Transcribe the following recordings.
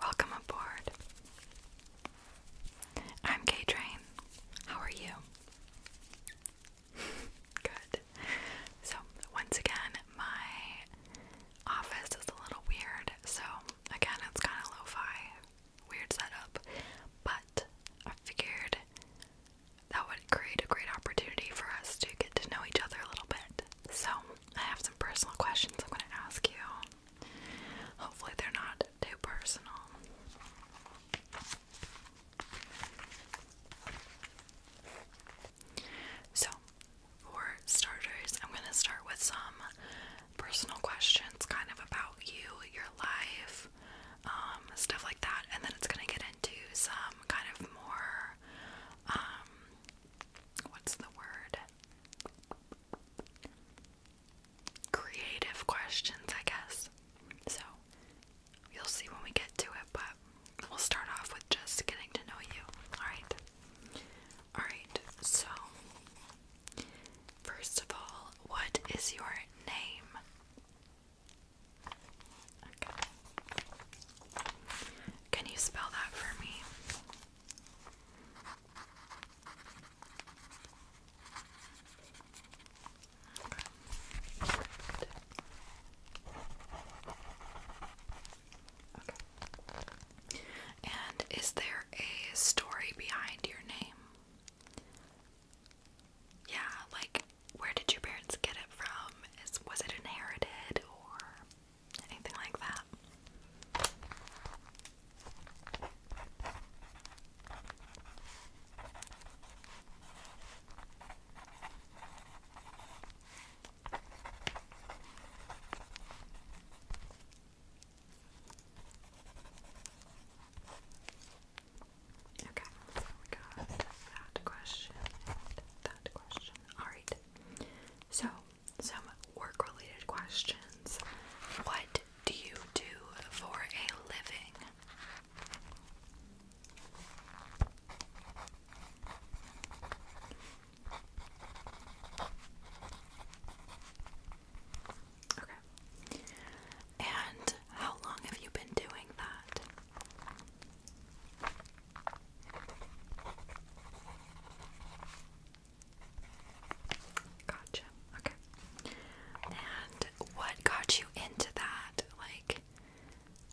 Welcome aboard. I'm K How are you? Good. So, once again, my office is a little weird. So, again, it's kind of lo fi, weird setup. But I figured that would create a great opportunity for us to get to know each other a little bit. So, I have some personal questions I'm going to ask you. Hopefully, they're not too personal. So, for starters, I'm going to start with some personal questions kind of about you, your life, um, stuff like that, and then it's going to get into some kind of more, um, what's the word? creative questions, I guess. So you'll see when we get to it, but we'll start off with just getting to know you. Alright. Alright, so first of all, what is your name? Can you spell that for me? Okay. okay. And is there a story behind your name? Yeah, like where did your parents get it from? Is was it inherited or anything like that. Okay, so we got that question, that question. All right, so some work related questions. What do you do for a living? Okay. And how long have you been doing that? Gotcha. Okay. And what got you into that? Like,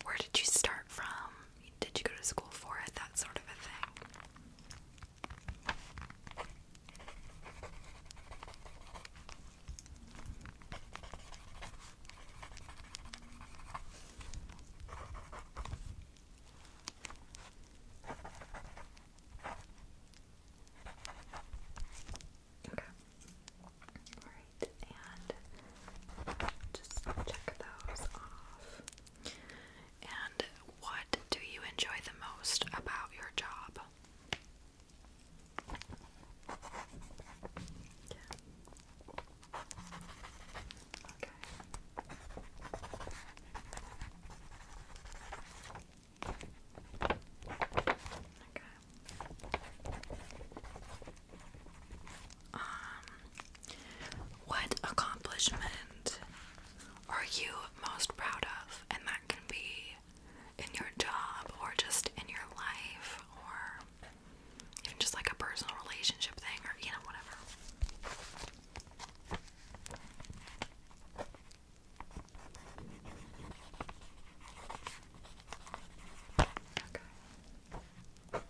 where did you start from? Did you go to school for it? That sort of a thing. Okay. Alright, and just check those off. And what do you enjoy the most about your job? Okay. Um, what accomplishment are you most proud of? And that can be in your job or just in your life or even just like a personal relationship thing or you know, whatever. Okay. Okay.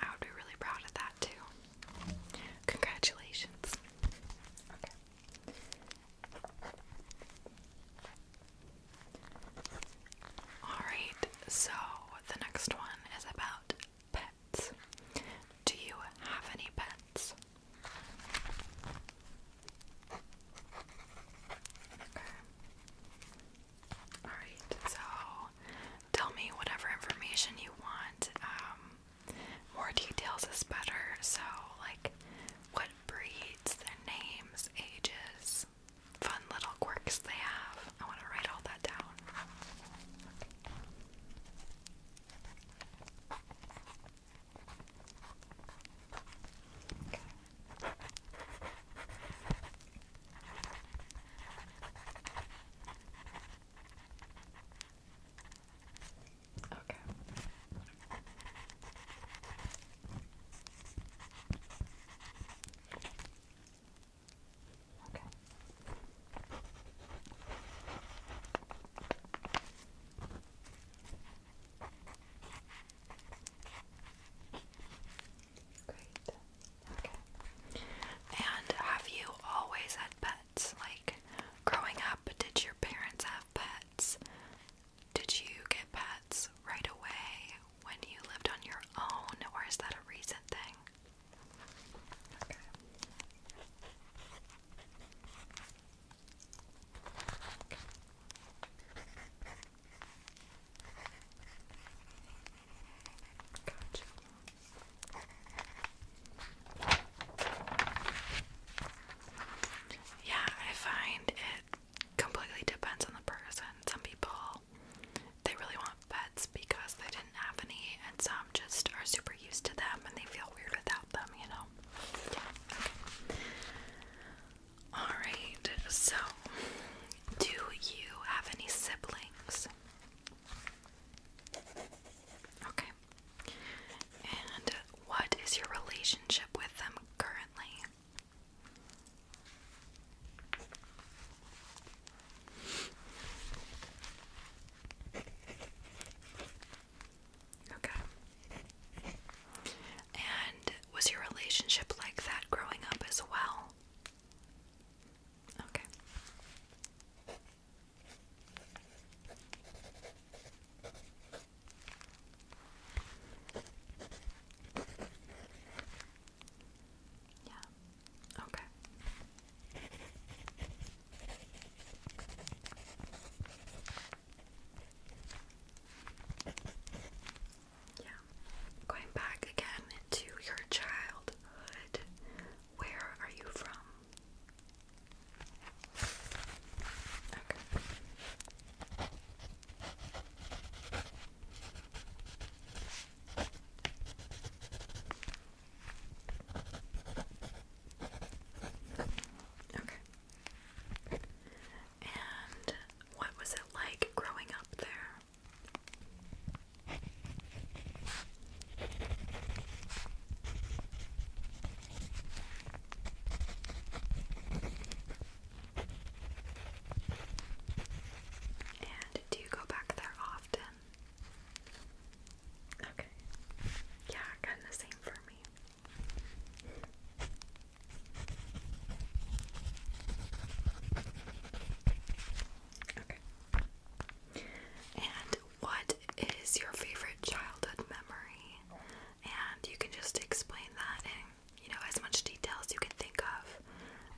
I would be really proud of that too. Congratulations. Alright, so the next one is about pets. Do you have any pets? Alright, so tell me whatever information you want. Um, more details is better. So, like what breeds, their names, ages, fun little quirks they have. I want to write all that down. Okay. Okay. Okay. Great. Okay. And have you always had pets? Like, growing up, did your parents have pets? Did you get pets right away when you lived on your own, or is that a recent thing? Okay. Gotcha. Yeah, I find it completely depends on the person. Some people they really want pets because they didn't have any, and some just are super used to them and they feel weird without them, you know? Yeah, okay. Alright, so do you have any siblings? Okay. And what is your relationship with them currently? Okay. And was your relationship like that growing up as well? Okay. Yeah. Okay. Yeah. Going back again to your childhood. Where are you from? Okay. Okay. And what was it like growing up there? And do you go back there often? Okay. Yeah, kind of the same for me. Okay. And what is your favorite childhood memory? And you can just explain that in, you know, as much detail as you can think of.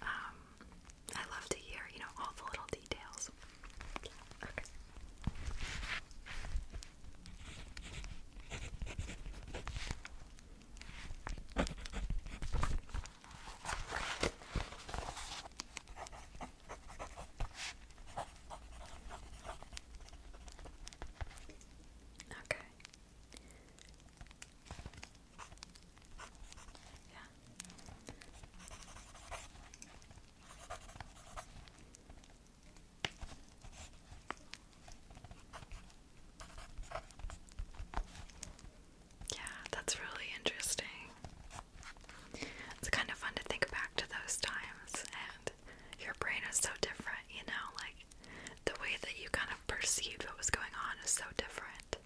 Um, I love to hear, you know, all the little details. Okay. Okay. Yeah. Yeah, that's really interesting. It's kind of fun to think back to those times, and your brain is so different, you know, like the way that you kind of perceived what was going on is so different.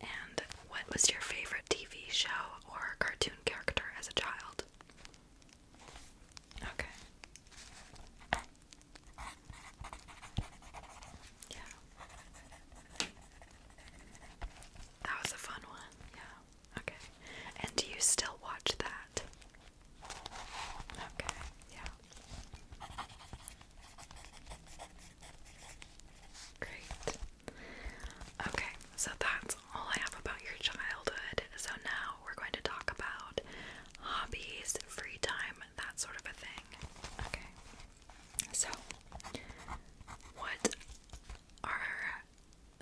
And what was your favorite TV show or cartoon character as a child? Okay. Yeah. That was a fun one. Yeah. Okay. And do you still watch that? Okay. Yeah. Great. Okay. So that's all I have about your childhood. So now we're going to talk about hobbies, free time, that sort of a thing. Okay. So, what are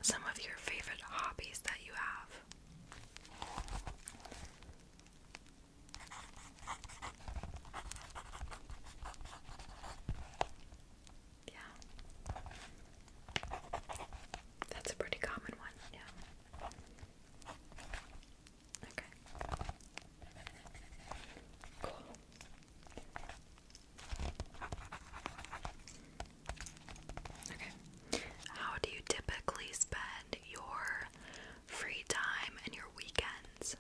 some of your favorite hobbies that you have? Yeah. That's a pretty common one, yeah. Okay. Cool. Okay. How do you typically spend your free time and your weekends?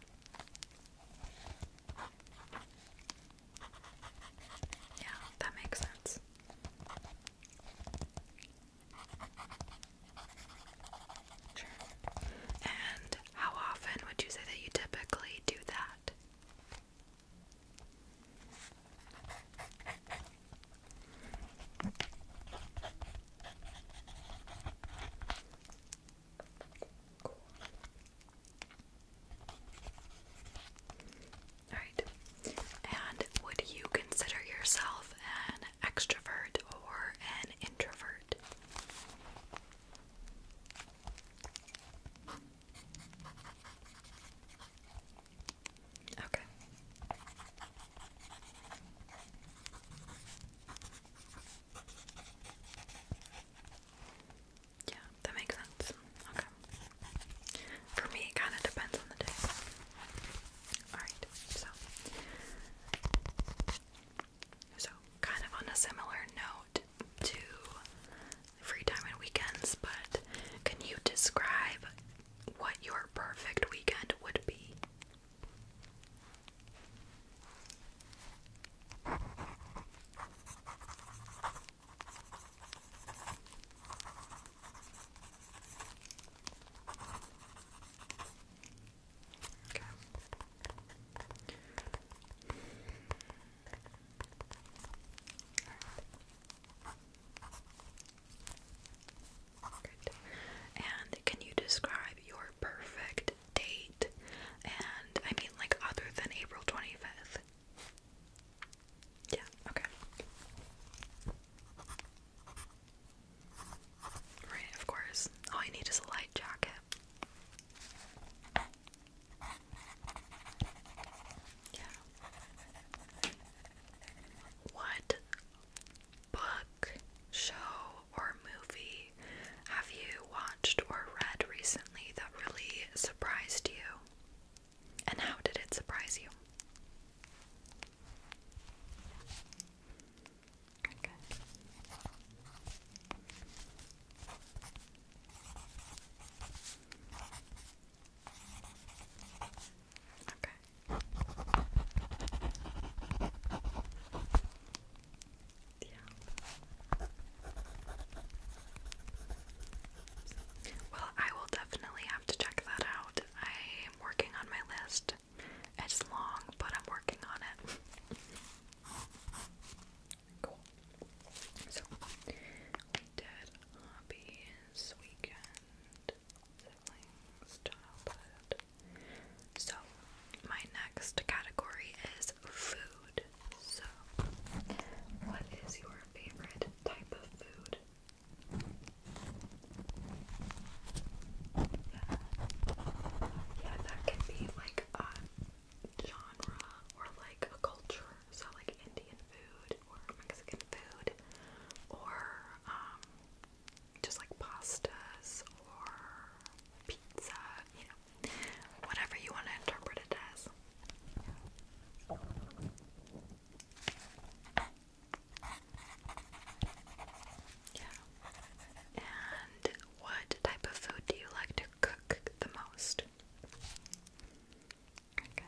Yeah, that makes sense. And how often would you say that you typically do that? Cool. And would you consider yourself an extrovert or an introvert? Okay. Yeah, that makes sense. Okay. For me, it kind of depends on the day. Alright, so. So, kind of on a similar note to free time and weekends, but can you describe what your perfect weekend would be? Okay. And can you describe your perfect date? And I mean, like, other than April 25th? Yeah, okay. Right, of course. All I need is a light jacket. Yeah. What book, show, or movie have you watched or read recently that really surprised you? And how did it surprise you? Okay. Okay. Yeah. Well, I will definitely have to check that out I am working on my list. It's long, but I'm working on it. cool. So, we hobbies, weekend, siblings, childhood. So, my next category is food. So, what is your favorite type of food? Yeah, that can be like a genre or like a culture. So like Indian food or Mexican food or um, just like pastas or pizza, you know. Whatever you want to interpret it as. Yeah. And what type of food do you like to cook the most? Okay.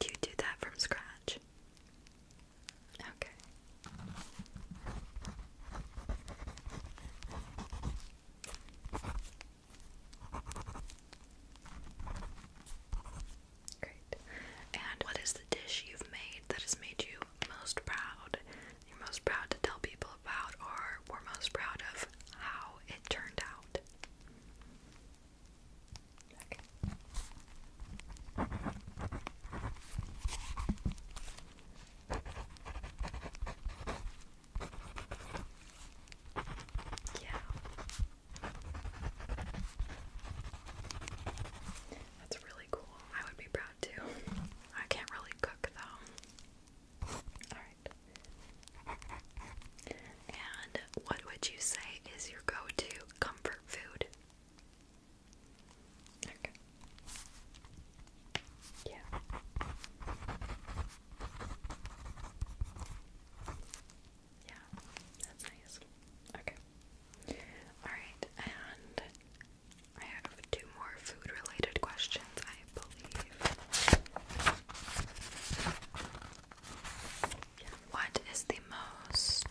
Do you do that from scratch? Okay. Great. And what is the dish you've made that has made you most proud? You're most proud to tell people about, or we're most proud of how it turned out. Okay. Yeah. That's really cool. I would be proud too. I can't really cook though. Alright. And what would you say is your go to comfort food? Okay. Yeah. Yeah, that's nice. Okay. Alright, and I have two more food related questions, I believe. What is the most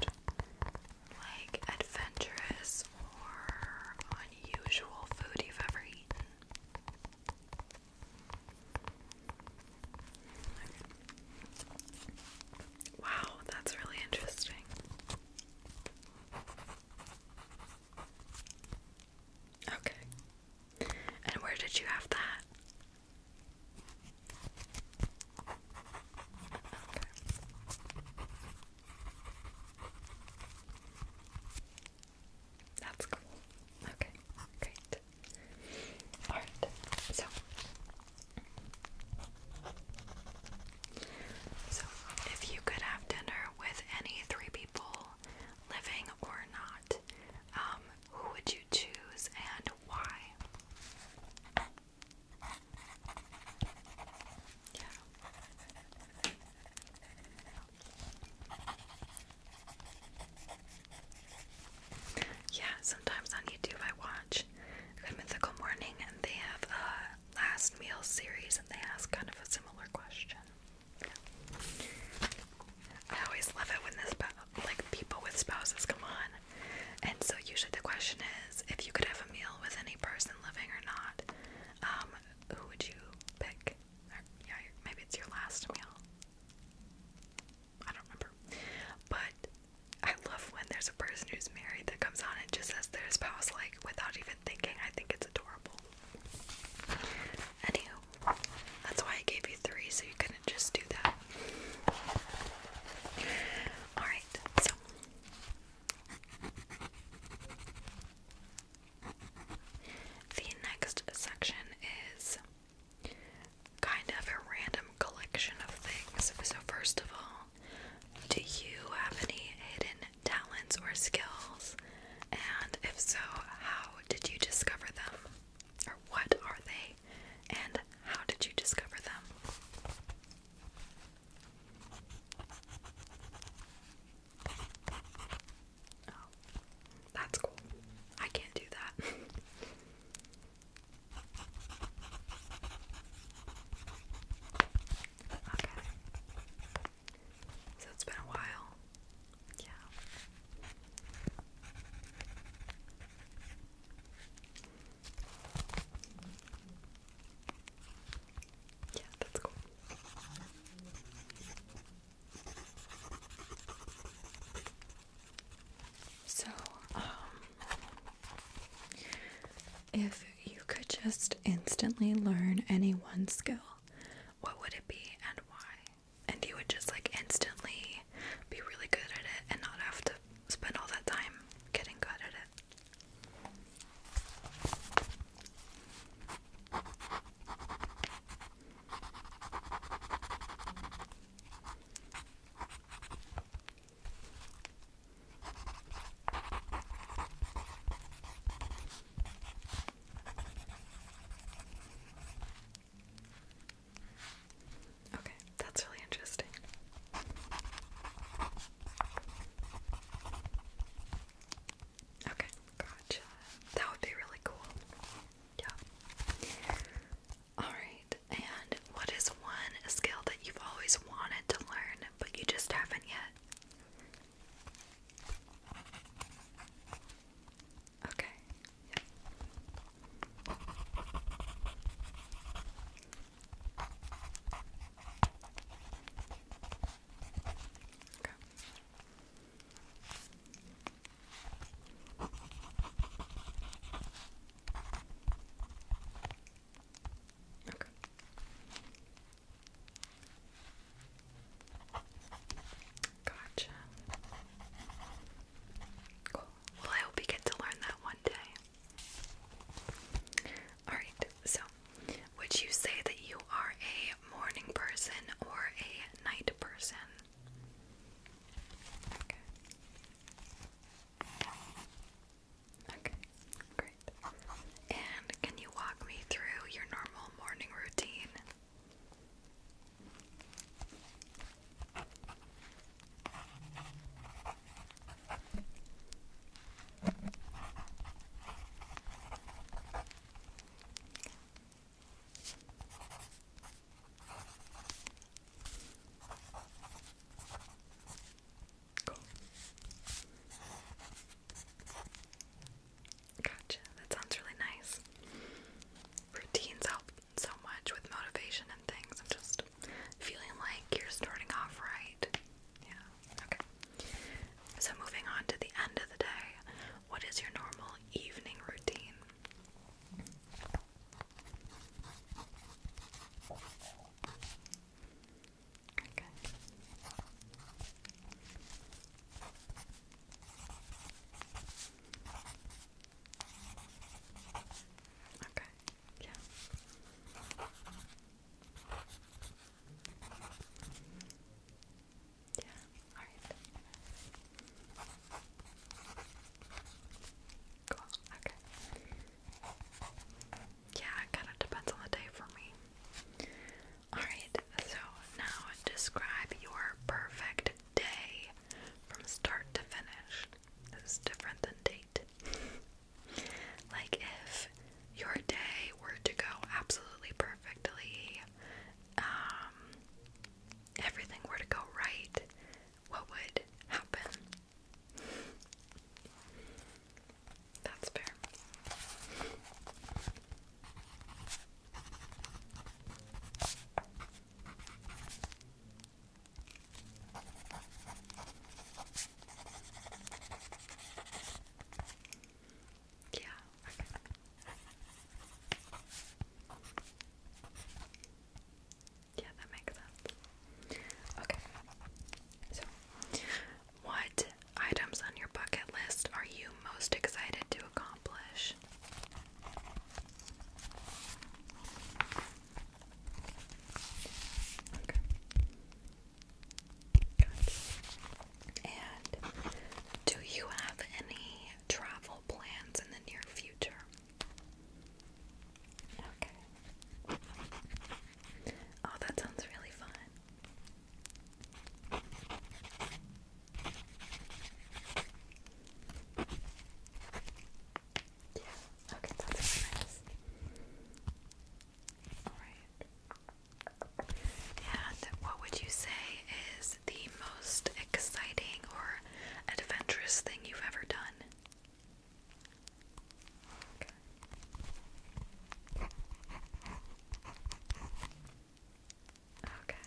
like adventurous or Usual food you've ever eaten? Wow, that's really interesting. Okay. And where did you have that? That's cool. Okay, great. Alright, so. So, if you could have dinner with any three people, living or not, um, who would you choose and why? Yeah, sometimes on YouTube I watch Good Mythical Morning and they have a last meal series and they ask kind of a similar question. I always love it when this like people with spouses come on. And so usually the question is if you could have a meal with any person living or not. Um, who would you pick? yeah, maybe it's your last meal. I don't remember. But I love when there's a person who's married that comes on and just says their spouse, like, without even thinking. I think it's adorable. Anywho, that's why I gave you three, so you couldn't just do that. Alright, so. The next section is kind of a random collection of things. So, first of all, do you have any hidden talents or skills? And if so, how did you discover them? Or what are they? And how did you discover them? Oh, that's cool. I can't do that. okay. So it's been a while. Yeah. Yeah, that's cool. So, um, if you could just instantly learn any one skill, what would it be and why? And you would just like instantly be really good at it and not have to spend all that time getting good at it. Okay, that's really interesting. Okay, gotcha. That would be really cool. Yeah. Alright, and what is one skill that you've always wanted to learn but you just haven't yet? Okay. Okay. Okay. Gotcha. Cool. Well, I hope you get to learn that one day. Alright, so would you say that you are a morning person or a night person? Okay. Okay, great. And can you walk me through your normal morning routine? Cool. Gotcha. That sounds really nice. Routines help so much with motivation and things and just feeling like you're starting off right. Yeah. Okay. So moving on to the end of the day, what is your normal evening routine? Okay. Okay. Yeah. Yeah, alright. Cool, okay. Yeah, it kind of depends on the day for me. Alright, so now describe your perfect day from start to finish. This is different than date. like if your day were to go absolutely perfectly, um, everything were to go right, what would happen? That's fair. Yeah. yeah, that makes sense. Okay. So, what items on your bucket list are you most excited to accomplish? Okay. And do you have any travel plans in the near future? Okay. Oh, that sounds really fun. Yeah, okay, that's nice. And what would you say is the most exciting or adventurous thing you've ever done? Okay.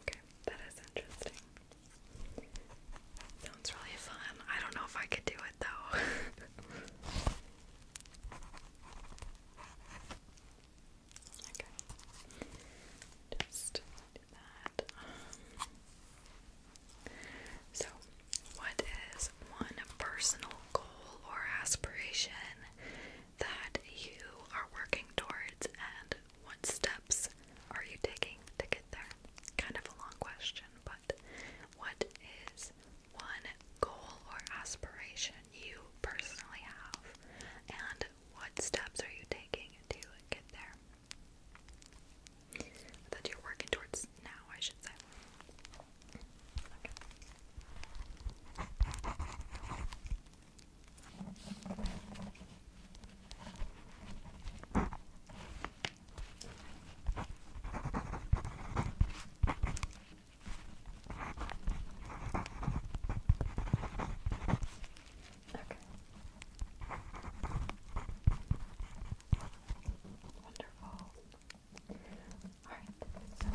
Okay, that is interesting. Sounds really fun. I don't know if I could do it though. okay. Just do that. Um, so, what is one personal goal or aspiration that you are working towards, and what steps are you taking to get there? Kind of a long question, but what is one goal or aspiration you personally have, and what steps are you taking to get there? That you're working towards now, I should say. Okay. Wonderful. Alright, so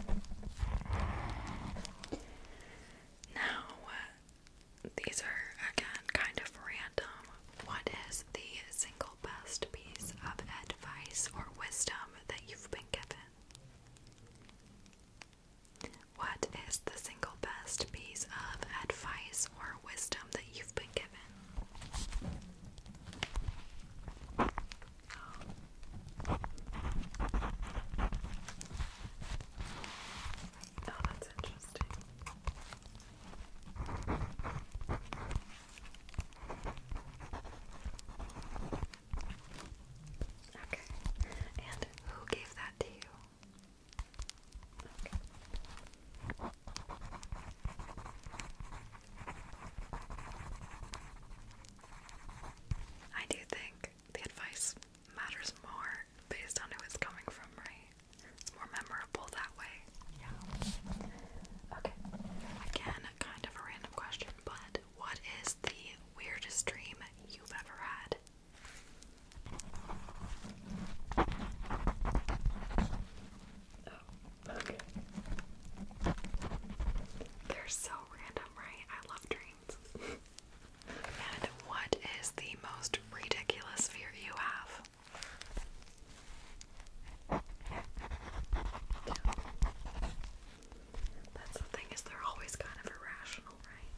now uh, these are again kind of random. What is the single best piece of advice or wisdom that you've been given? What is the single best piece of advice or wisdom that you've been given? Oh, that's interesting. Okay. And who gave that to you? I do think the advice matters more based on who it's coming from, right? It's more memorable that way. Yeah. Okay. Again, kind of a random question, but what is the weirdest dream you've ever had? Oh, okay. They're so random, right? I love dreams. and what is the most ridiculous fear you have? That's the thing is they're always kind of irrational, right?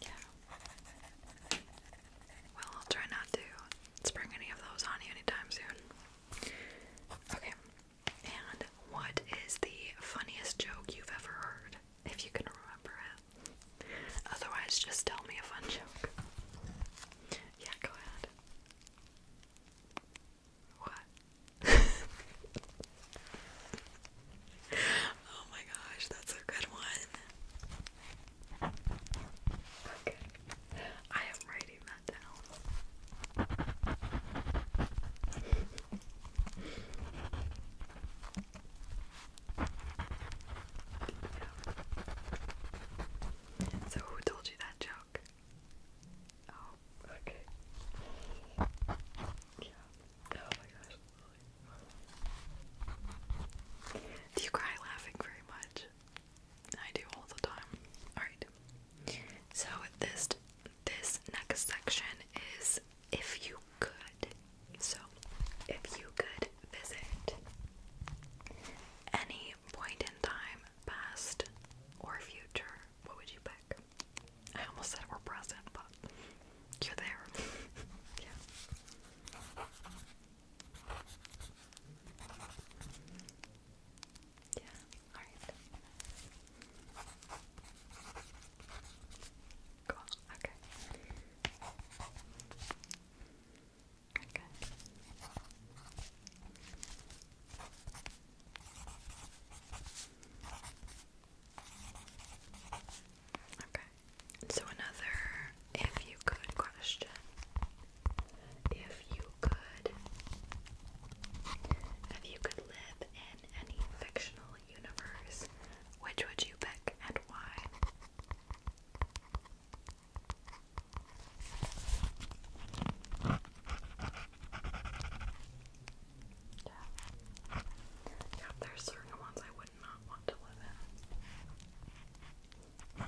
Yeah. Well, I'll try not to spring any of those on you anytime soon. Okay. And what is the funniest joke you've ever heard? if you can remember it. Otherwise, just tell me a fun joke. Yeah, go ahead. What? oh my gosh, that's a good one. Okay. I am writing that down. So who told you that joke? Oh, okay. Yeah. Oh my gosh. Do you cry laughing very much? I do all the time. Alright. So this this next section is if you could. So, if you could visit any point in time, past or future, what would you pick? I almost said we present, but you're there. yeah. Yeah, alright okay. Okay. Okay. So another if you could question. If you could if you could live in any fictional universe, which would you pick and why? Yeah. yeah, there's certain ones I would not want to live in.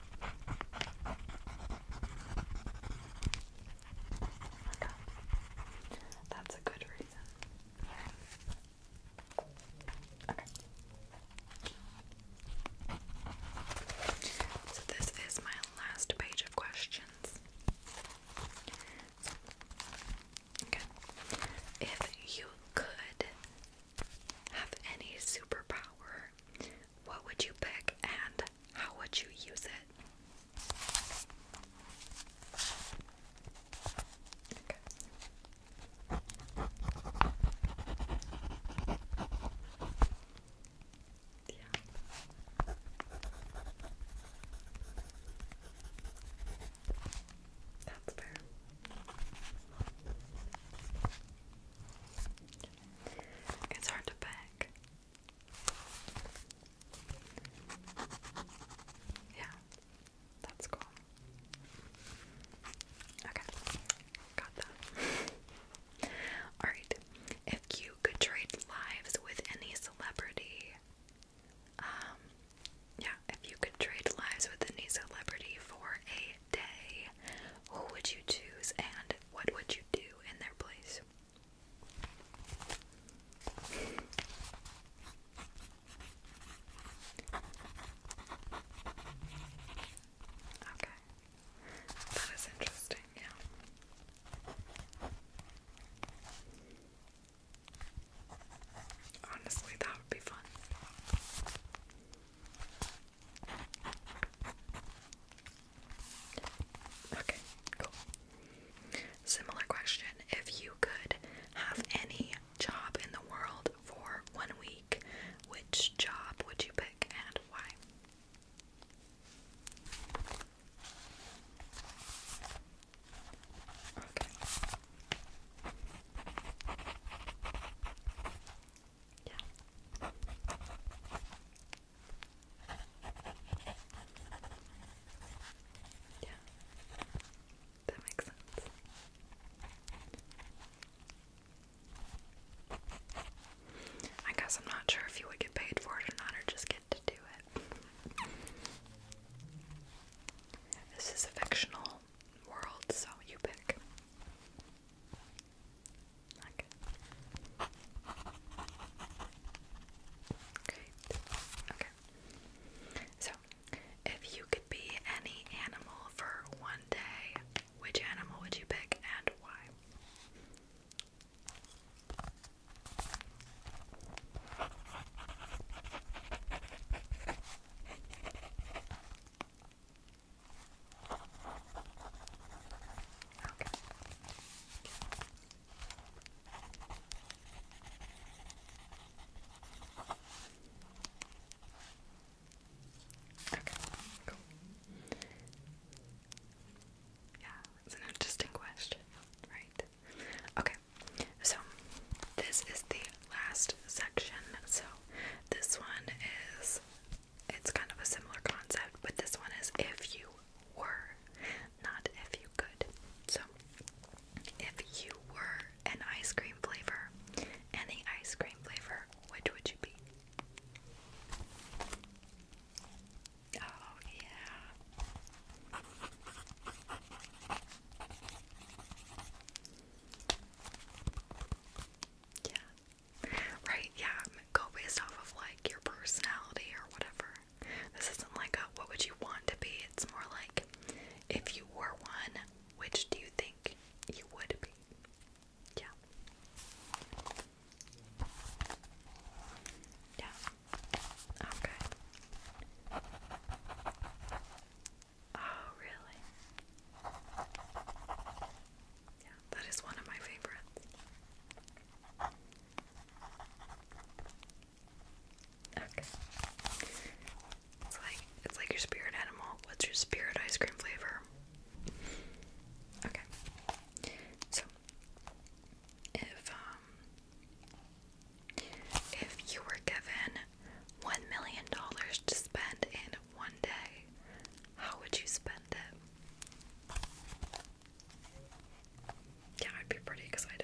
That's a good reason. So this is my last page of questions. Okay. If you could have any superpower, what would you pick and how would you use it? Okay. Yeah. It's hard to pick. Yeah. That's cool. Okay, got that. Alright, if you could trade lives with any celebrity, um, yeah, if you could trade lives with any celebrity for a day, who would you choose and what would you do in their place? Okay. That is interesting, yeah. Honestly, that would be fun. Okay, cool. Similar question if you could have any job in the world for one week, which job would you pick and why? That makes sense. I guess I'm not sure if you would get paid for it or not, or just get to do it. This is a fictional world, so you pick. Okay. Great. Okay. So, if you could be any animal for one day, which animal would you pick and why? Okay. Yeah, it's an interesting question, right? Okay, so this is the last section. So this one is, it's kind of a similar concept, but this one is if you were not if you could. So, if you were an ice cream flavor, any ice cream flavor, which would you be? Oh, yeah. Yeah. Right, yeah. Go based off of like your personality or whatever. This isn't like a what would you want to be, it's more like if you were one, which do you think you would be? Yeah. Yeah. Okay. Oh, really? Yeah, that is one of my favorites. Okay. It's like it's like your spirit animal. What's your spirit ice cream flavor? Okay. So if um if you were given one million dollars to spend in one day, how would you spend it? yeah, I'd be pretty excited.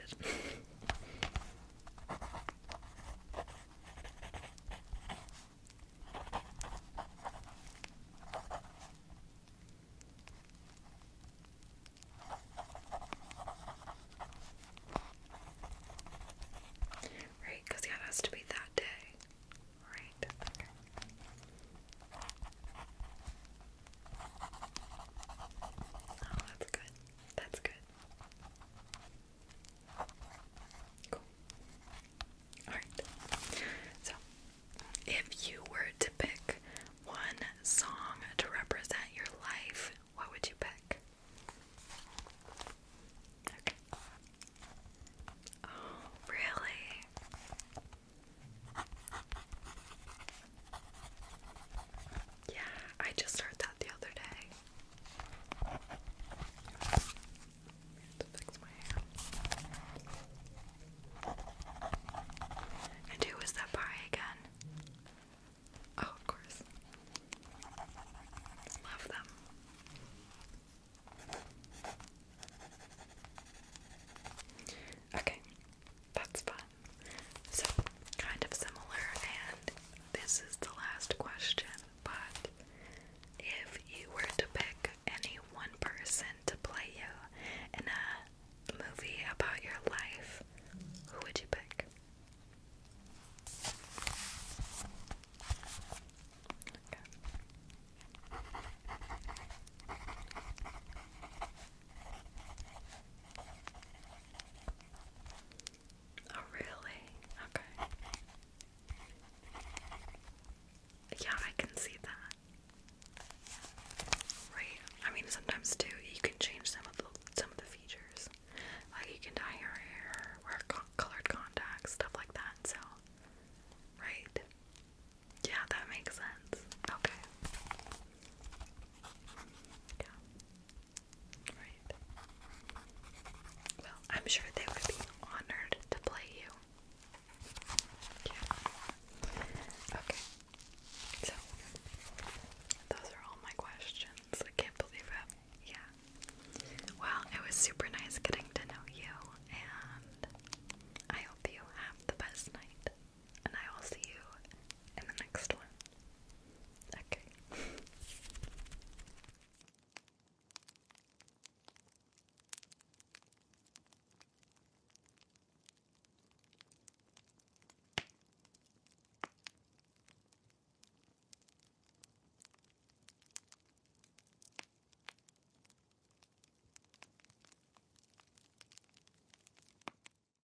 Right, because yeah, has to be that day. Right. Oh, that's good. That's good. Cool. Alright. So, if you were to pick one song to represent your life, what would you pick? Okay. Oh, really? Yeah, I just heard that the other day. And who was that by again? Oh, of course. Love them. Okay, that's fun. So, kind of similar, and this is the last question, but if you were to pick any one person to play you in a movie about your life, who would you pick? Oh, really? Okay. Yeah, I can see that. Right. I mean, sometimes too, you can change some of the some of the features. Like you can dye your hair, wear colored contacts, stuff like that. So, right. Yeah, that makes sense. Okay. Yeah. Right. Well, I'm sure they would be honored to play you. Yeah. Okay. So, those are all my questions. I can't believe it. Yeah. Well, it was super nice getting to know you, and I hope you have the best night and I will see you in the next one. Okay.